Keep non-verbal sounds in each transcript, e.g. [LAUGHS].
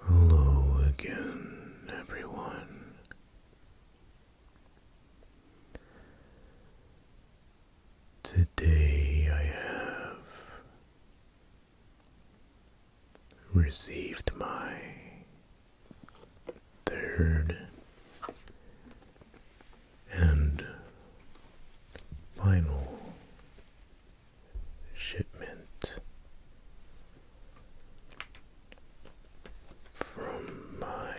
Hello again, everyone. Today I have received my third and final shipment from my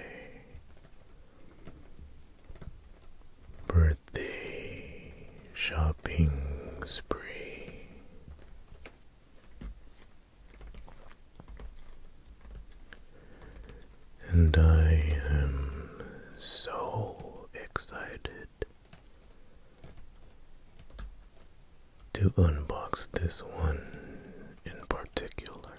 birthday shopping spree. And I am so excited to unbox this one in particular.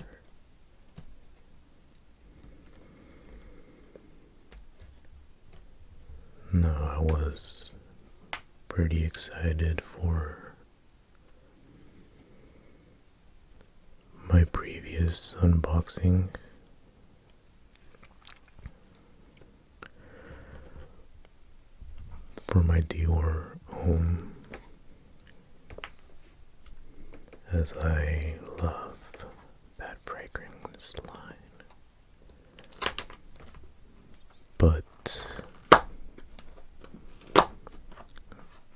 Now, I was pretty excited for my previous unboxing for my Dior home, as I love that fragrance line, but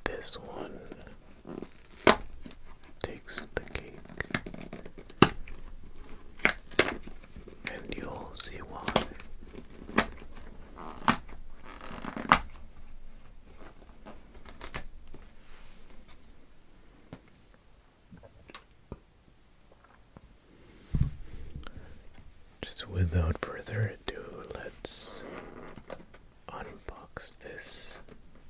this one. And you'll see why. Just without further ado, let's unbox this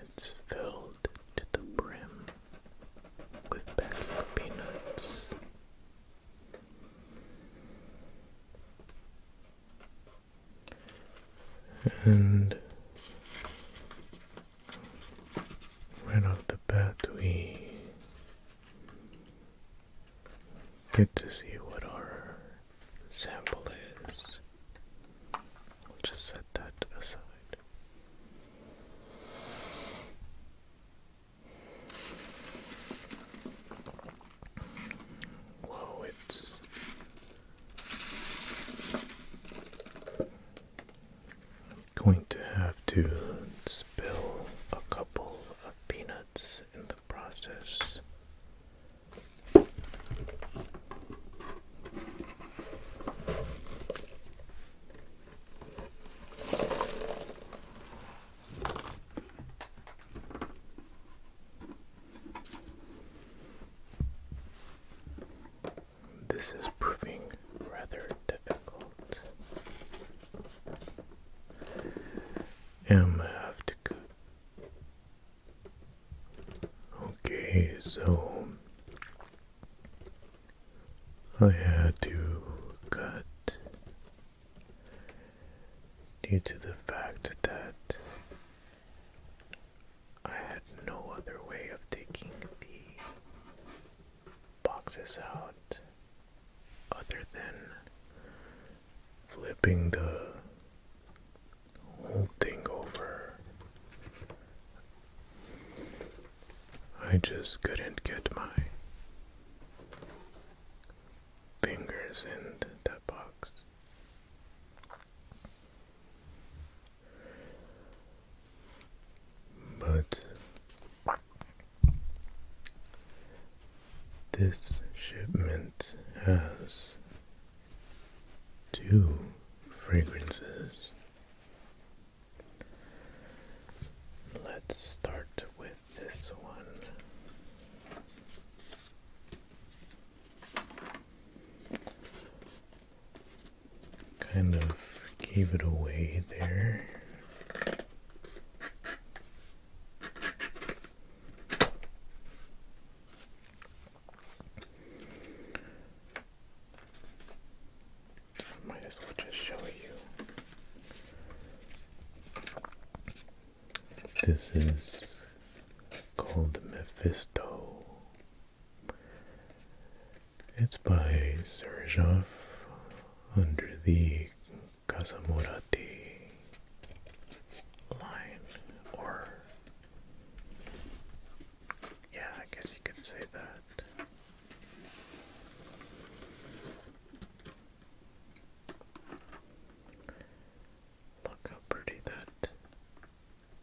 It's filled to the brim with packs of peanuts. And right off the bat, we get to see what our sample is. We'll just set that aside. Whoa, it's going to have to spill a couple of peanuts in the process. This is proving rather difficult. Am have to go Okay, so I had to cut due to the fact that I had no other way of taking the boxes out other than flipping the whole thing over. I just couldn't get my fingers in that box. But this shipment has two fragrances. Let's start with this one. Kind of gave it away there might as well just show you. This is called Mephisto. It's by Sergov under the Casamorati line, or yeah, I guess you could say that. Look how pretty that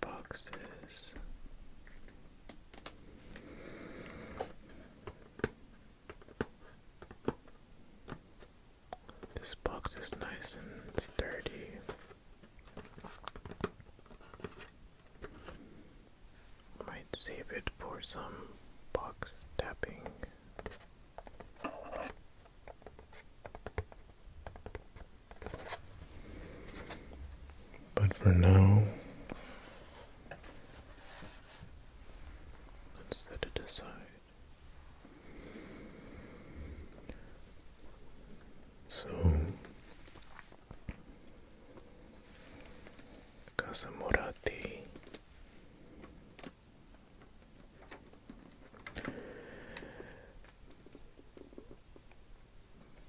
box is. This box is nice and sturdy. Might save it for some box tapping. But for now, let's set it aside. So Casamorati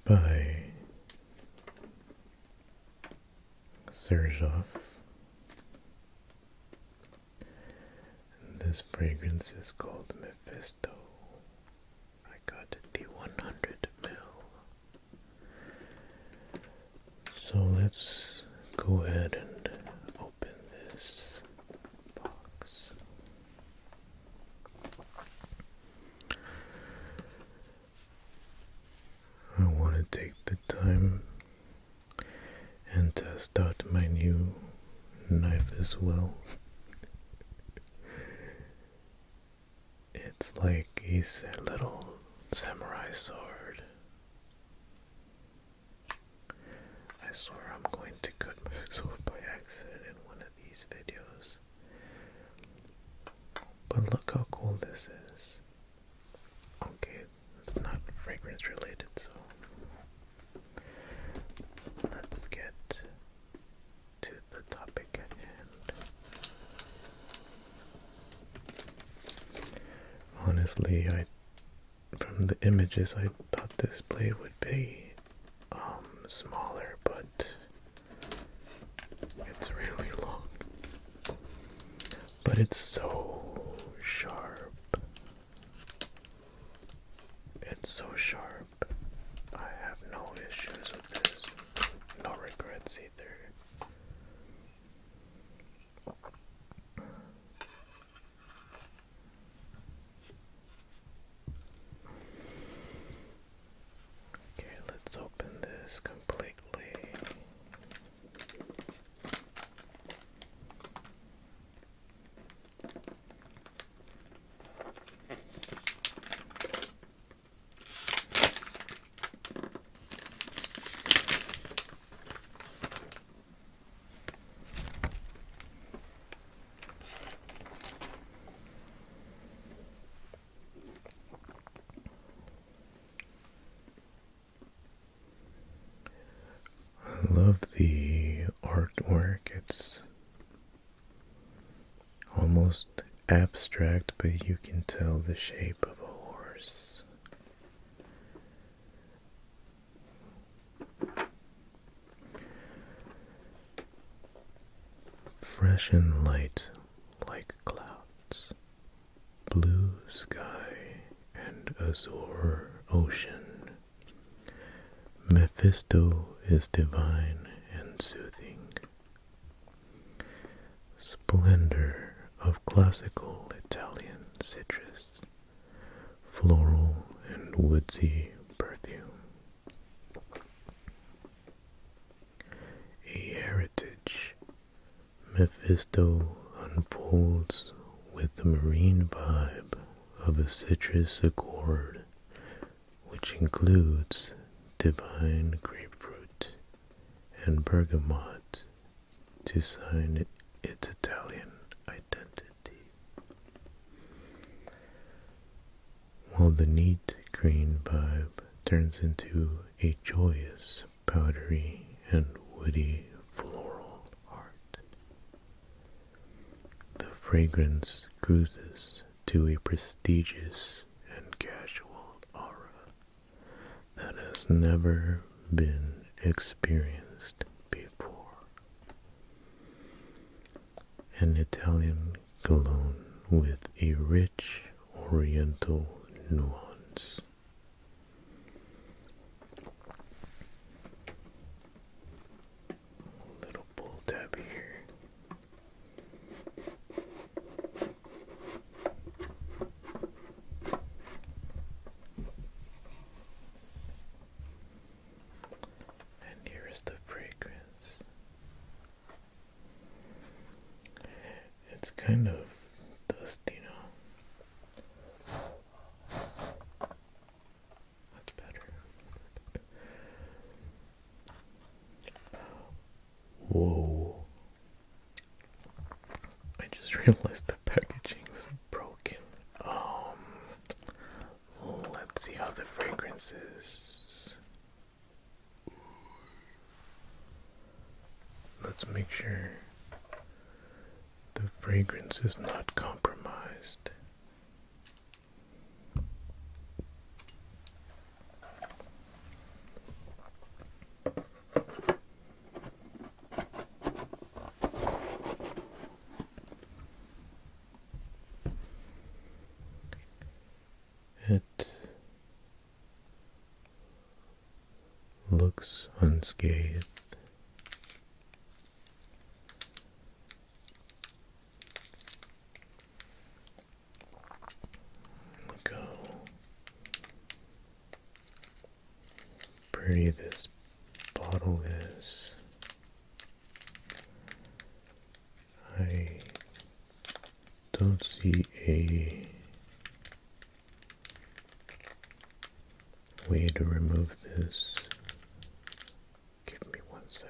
by Serzhov and this fragrance is called Mephisto. I got the 100 mil. So let's go ahead and open this box. I want to take the time and test out my new knife as well. it's like it's a little samurai sword. I swear I'm going to cut myself [LAUGHS] by accident in one of these videos. But look how cool this is. Okay, it's not fragrance related, so Let's get to the topic Honestly, I from the images I thought this blade would be um, smaller, but it's really long. But it's so sharp. It's so sharp. I have no issues with this. No regrets either. Okay, let's open this completely. I love the artwork. It's almost abstract, but you can tell the shape of a horse. Fresh and light like clouds, blue sky and azure ocean Mephisto is divine and soothing. Splendor of classical Italian citrus, floral and woodsy perfume. A heritage, Mephisto unfolds with the marine vibe of a citrus accord, which includes divine grapefruit and bergamot to sign its Italian identity. While the neat green vibe turns into a joyous, powdery, and woody floral art. The fragrance cruises to a prestigious and casual aura that has never been experienced before. An Italian cologne with a rich oriental nuance. Little pull tab here. And here is the fragrance. It's kind of dusty, you know. That's better. Whoa. I just realized the packaging was broken. Um, let's see how the fragrance is. Let's make sure the fragrance is not compromised. It looks unscathed. We'll pretty this bottle is. I don't see a way to remove this Give me one second.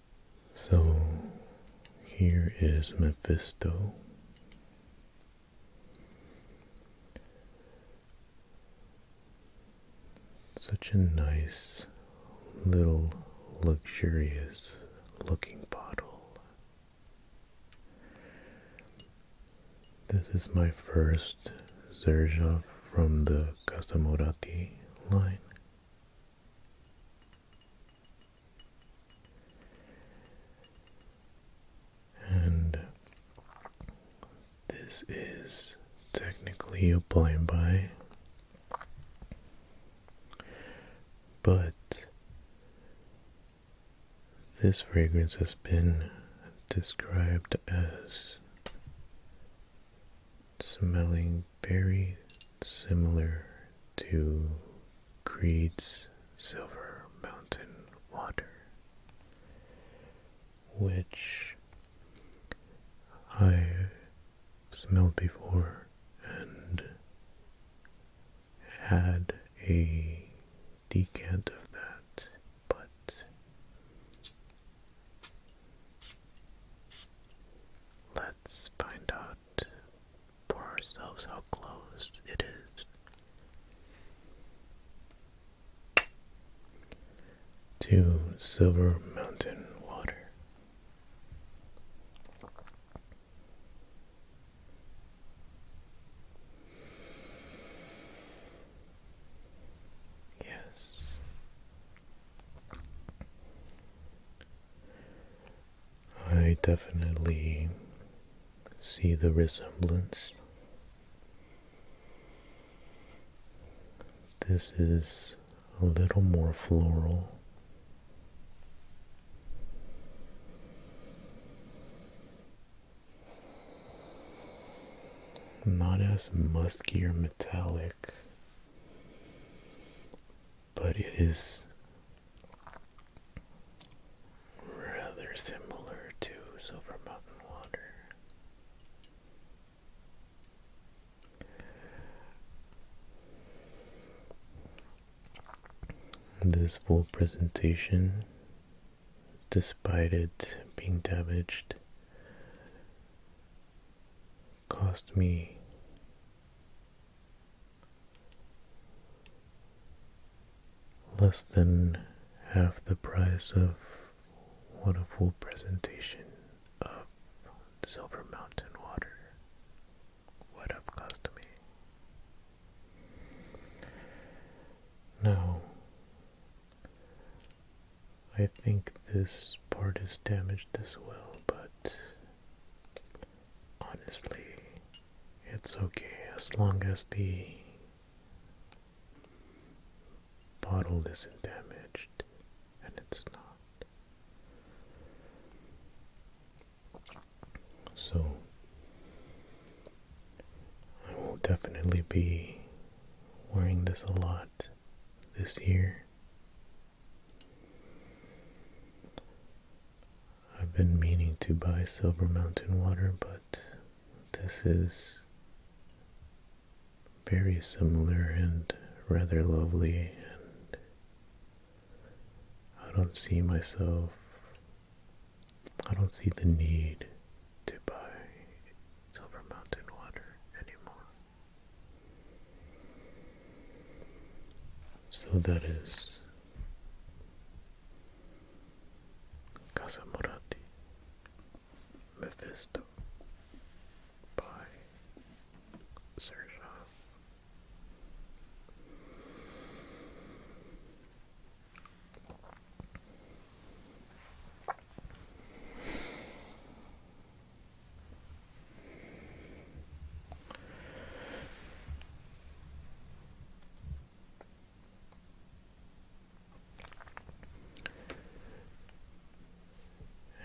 So here is Mephisto. Such a nice little luxurious looking bottle. This is my first Zerzhov from the Casamorati line. And this is technically a blind buy, but this fragrance has been described as smelling very similar to Creed's Silver Mountain Water, which I smelled before and had a decant of that, but Let's find out for ourselves how close it is to Silver Mountain water. Yes, I definitely see the resemblance. This is a little more floral. Not as musky or metallic but it is rather similar to Silver Mountain Water. This full presentation, despite it being damaged, cost me less than half the price of what a full presentation of Silver Mountain water would have cost me. Now, I think this part is damaged as well, but honestly, it's okay as long as the bottle isn't damaged, and it's not. So, I will definitely be wearing this a lot this year I've been meaning to buy Silver Mountain water, but this is very similar and rather lovely, and I don't see myself, I don't see the need to buy Silver Mountain water anymore. So that is Casamorati Mephisto by Sergio.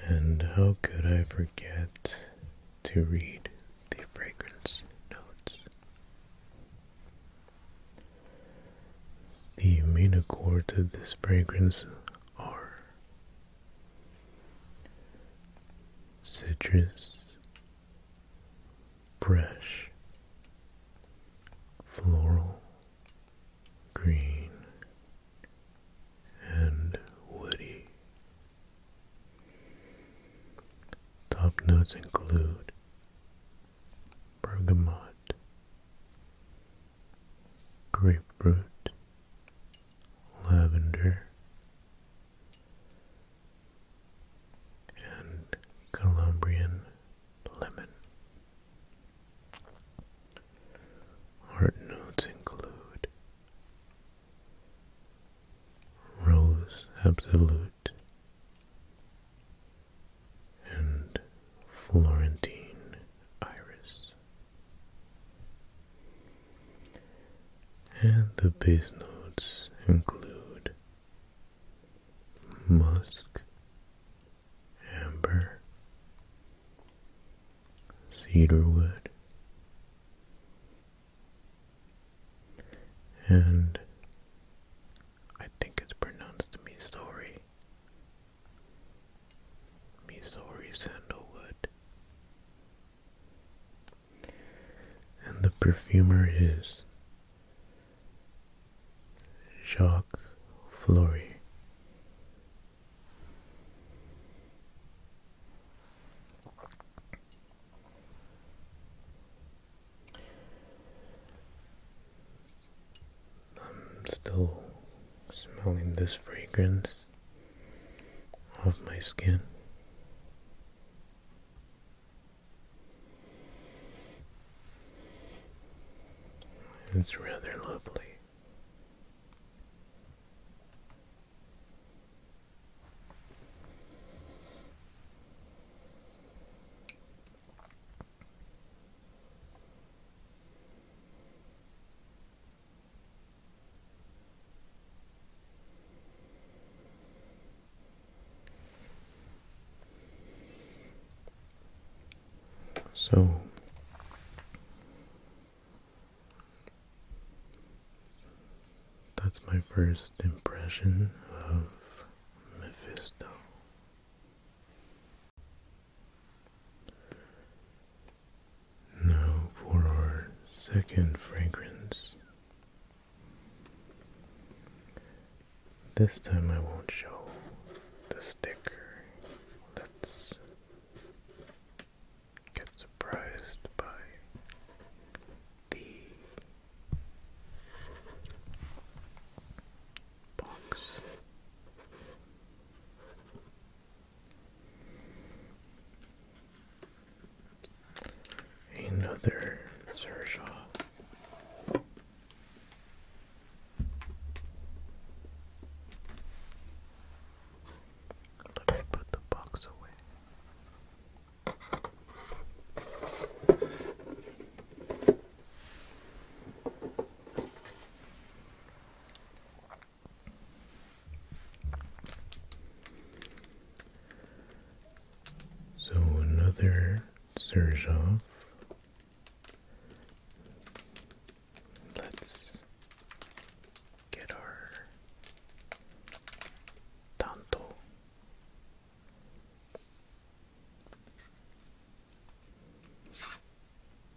And how could I forget to read the fragrance notes? The main accord to this fragrance are citrus, fresh, floral, green, and woody. Top notes include bergamot, grapefruit, lavender, and Colombian lemon. Art notes include rose absolute and Florentine iris. And the bass notes include musk, amber, cedarwood, and I think it's pronounced me story. Missouri sandalwood. And the perfumer is Jacques Fleury. I'm still smelling this fragrance of my skin. It's rather lovely. So that's my first impression of Mephisto. Now for our second fragrance. This time I won't show the sticker. Let's get surprised by the box. Another Zershaw. Let me put the box away. So another Serzhov. Let's get our Tanto.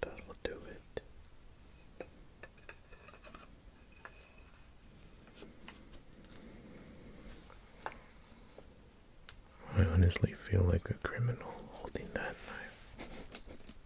That'll do it. I honestly feel like a criminal holding that knife.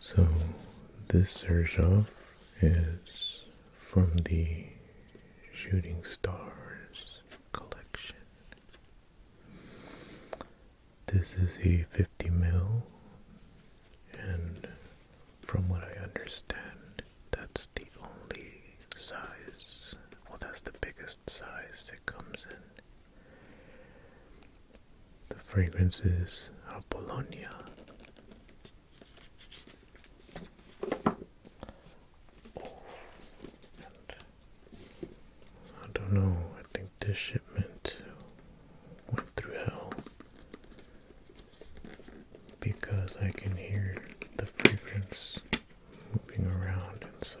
So this Zerzhov is from the Shooting Stars collection. This is a 50 mil and from what I understand that's the only size well that's the biggest size it comes in. The fragrances are Bologna. I don't know, I think this shipment went through hell because I can hear the fragrance moving around inside.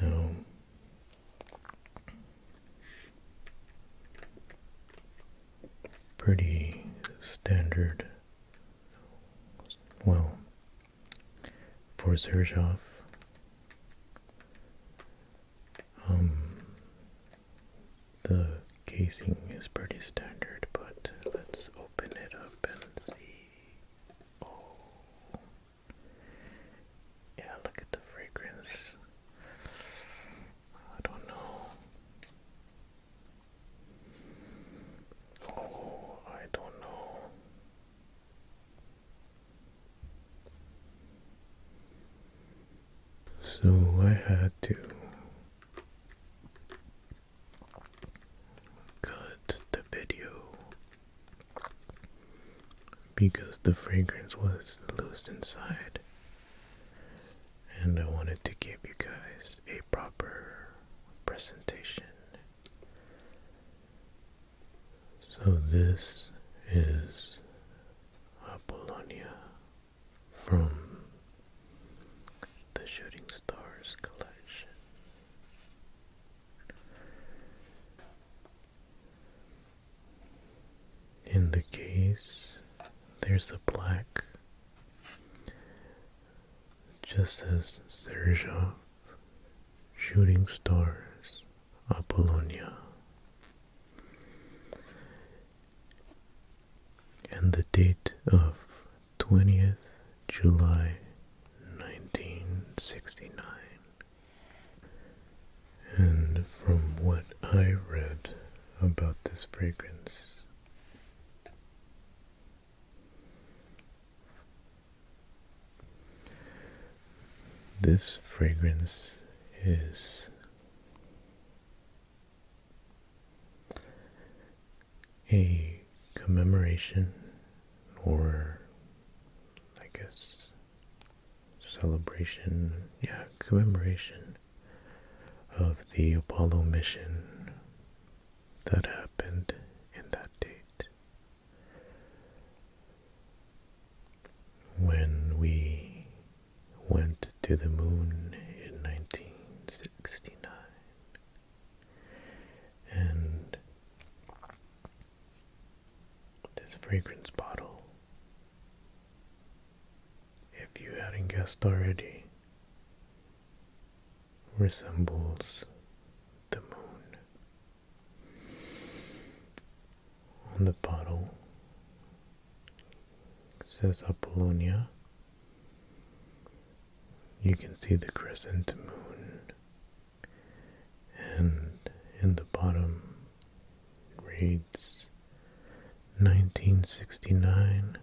No. Pretty standard. Well, for Zerzhov. Um, the casing is pretty standard, but let's open it up and see. Oh, yeah, look at the fragrance. I don't know. Oh, I don't know. So I had to cut the video because the fragrance was lost inside. And I wanted to give you guys a proper presentation so this is Apollonia from the Shooting Stars collection. In the case, there's a black, just as Sergov Shooting Stars Apollonia. And the date of 20th July 1969. And from what I read about this fragrance, this fragrance is a commemoration or I guess celebration, yeah, commemoration of the Apollo mission that happened in that date when we went to the moon in 1969, and this fragrance bottle, if you hadn't guessed already, resembles the moon on the bottle says Apollonia. You can see the crescent moon, and in the bottom reads 1969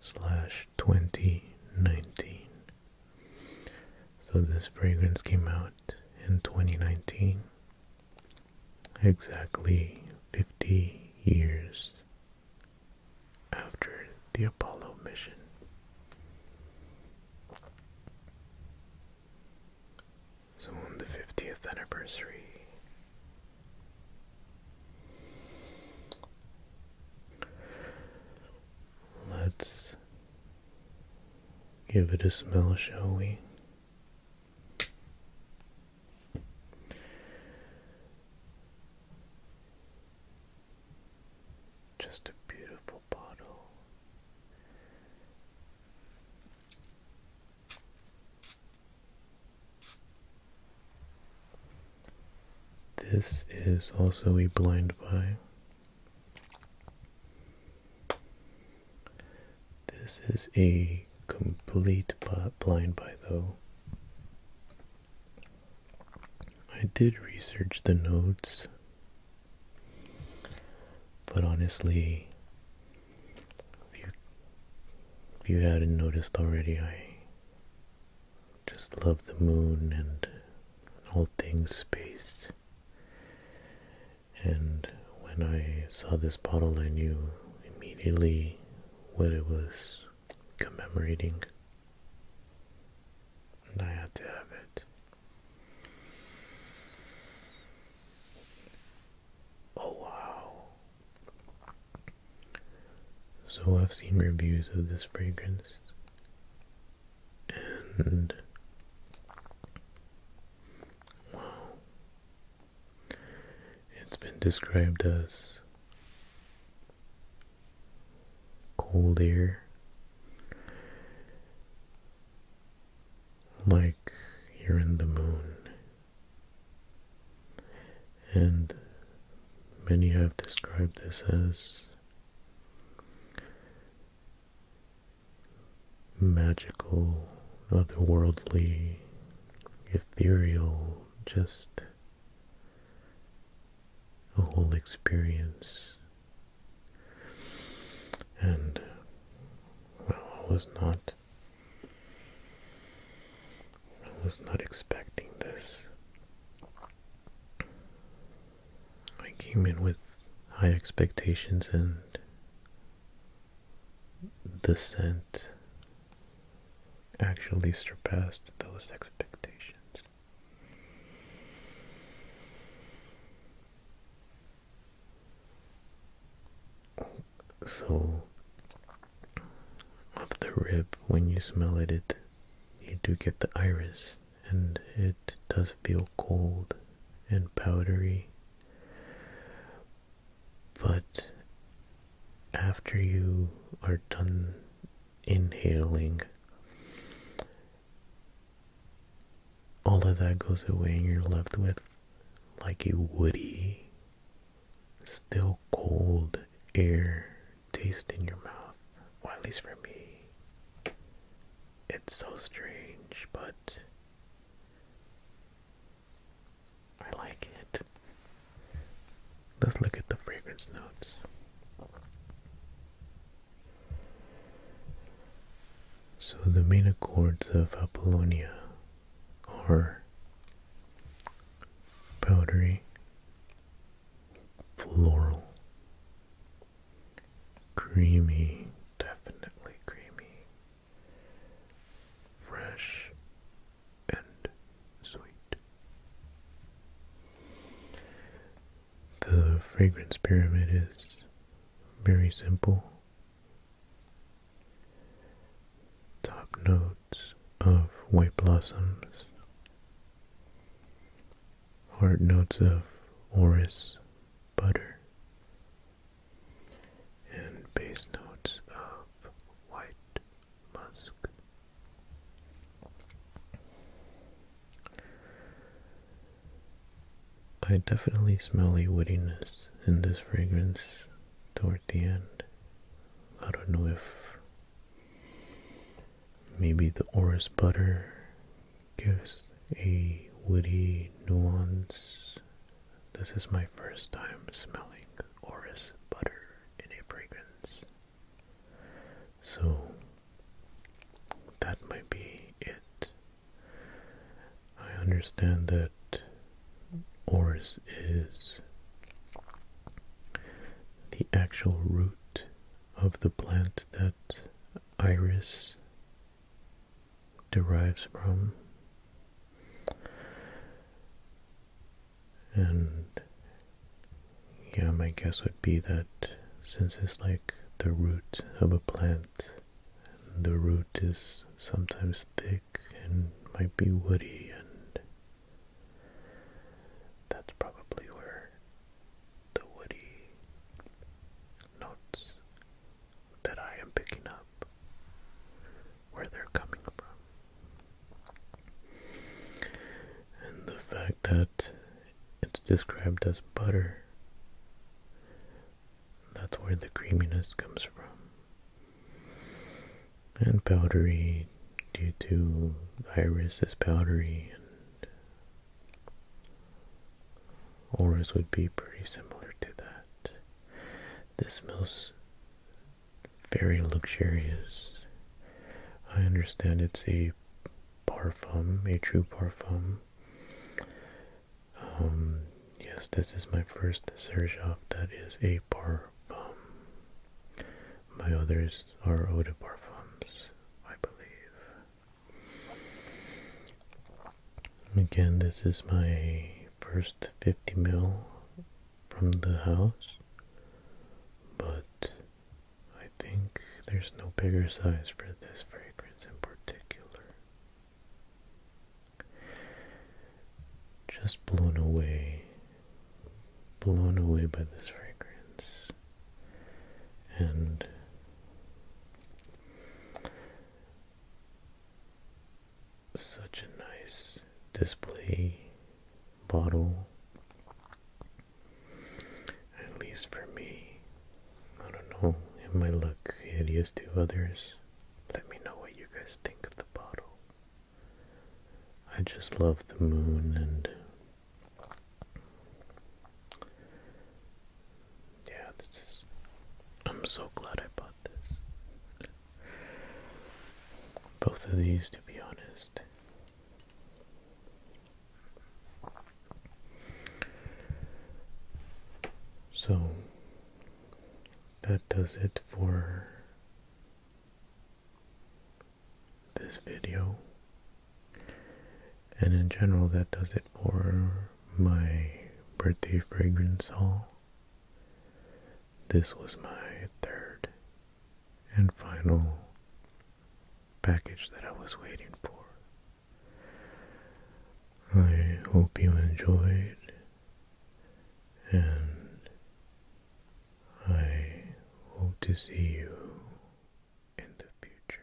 slash 2019 so this fragrance came out in 2019, exactly 50 years after the Apollo mission. So on the 50th anniversary, Let's give it a smell, shall we? Just a beautiful bottle. This is also a blind buy. This is a complete blind buy though. I did research the nodes, but honestly, if you, if you hadn't noticed already, I just love the moon and all things space. And when I saw this bottle, I knew immediately what it was commemorating. And I had to have it. Oh wow. So I've seen reviews of this fragrance and wow, it's been described as cold air, like you're in the moon, and many have described this as magical, otherworldly, ethereal, just a whole experience. And well, I was not I was not expecting this. I came in with high expectations and the scent actually surpassed those expectations. So, of the rib, when you smell it, it you do get the iris and it does feel cold and powdery. But after you are done inhaling, all of that goes away and you're left with like a woody, still cold air taste in your mouth. Well, at least for me it's so strange, but I like it. Let's look at the fragrance notes. So the main accords of Apollonia are powdery, floral, creamy, definitely creamy, fresh and sweet. The fragrance pyramid is very simple. Top notes of white blossoms, heart notes of orris butter, and base notes of white musk. I definitely smell a woodiness in this fragrance toward the end. I don't know if maybe the orris butter gives a woody nuance. This is my first time smelling orris butter in a fragrance. So that might be it. I understand that orris is the actual root of the plant that iris derives from. And yeah, my guess would be that since it's like the root of a plant, the root is sometimes thick and might be woody, and that's probably where the woody notes that I am picking up, where they're coming from. And the fact that it's described as butter, that's where the creaminess comes from. And powdery, due to iris is powdery and Auras would be pretty similar to that. This smells very luxurious. I understand it's a parfum, a true parfum. Um, yes, this is my first Serjov that is a parfum. My others are eau de parfums, I believe. Again, this is my first 50 mil from the house, but I think there's no bigger size for this fragrance in particular. Just blown away, blown away by this fragrance. And such a nice display bottle, at least for me. I don't know, it might look hideous to others. Let me know what you guys think of the bottle. I just love the moon and yeah, this is. I'm so glad I bought this. Both of these, to be honest. So, that does it for this video and in general that does it for my birthday fragrance haul. This was my third and final package that I was waiting for. I hope you enjoyed and I hope to see you in the future.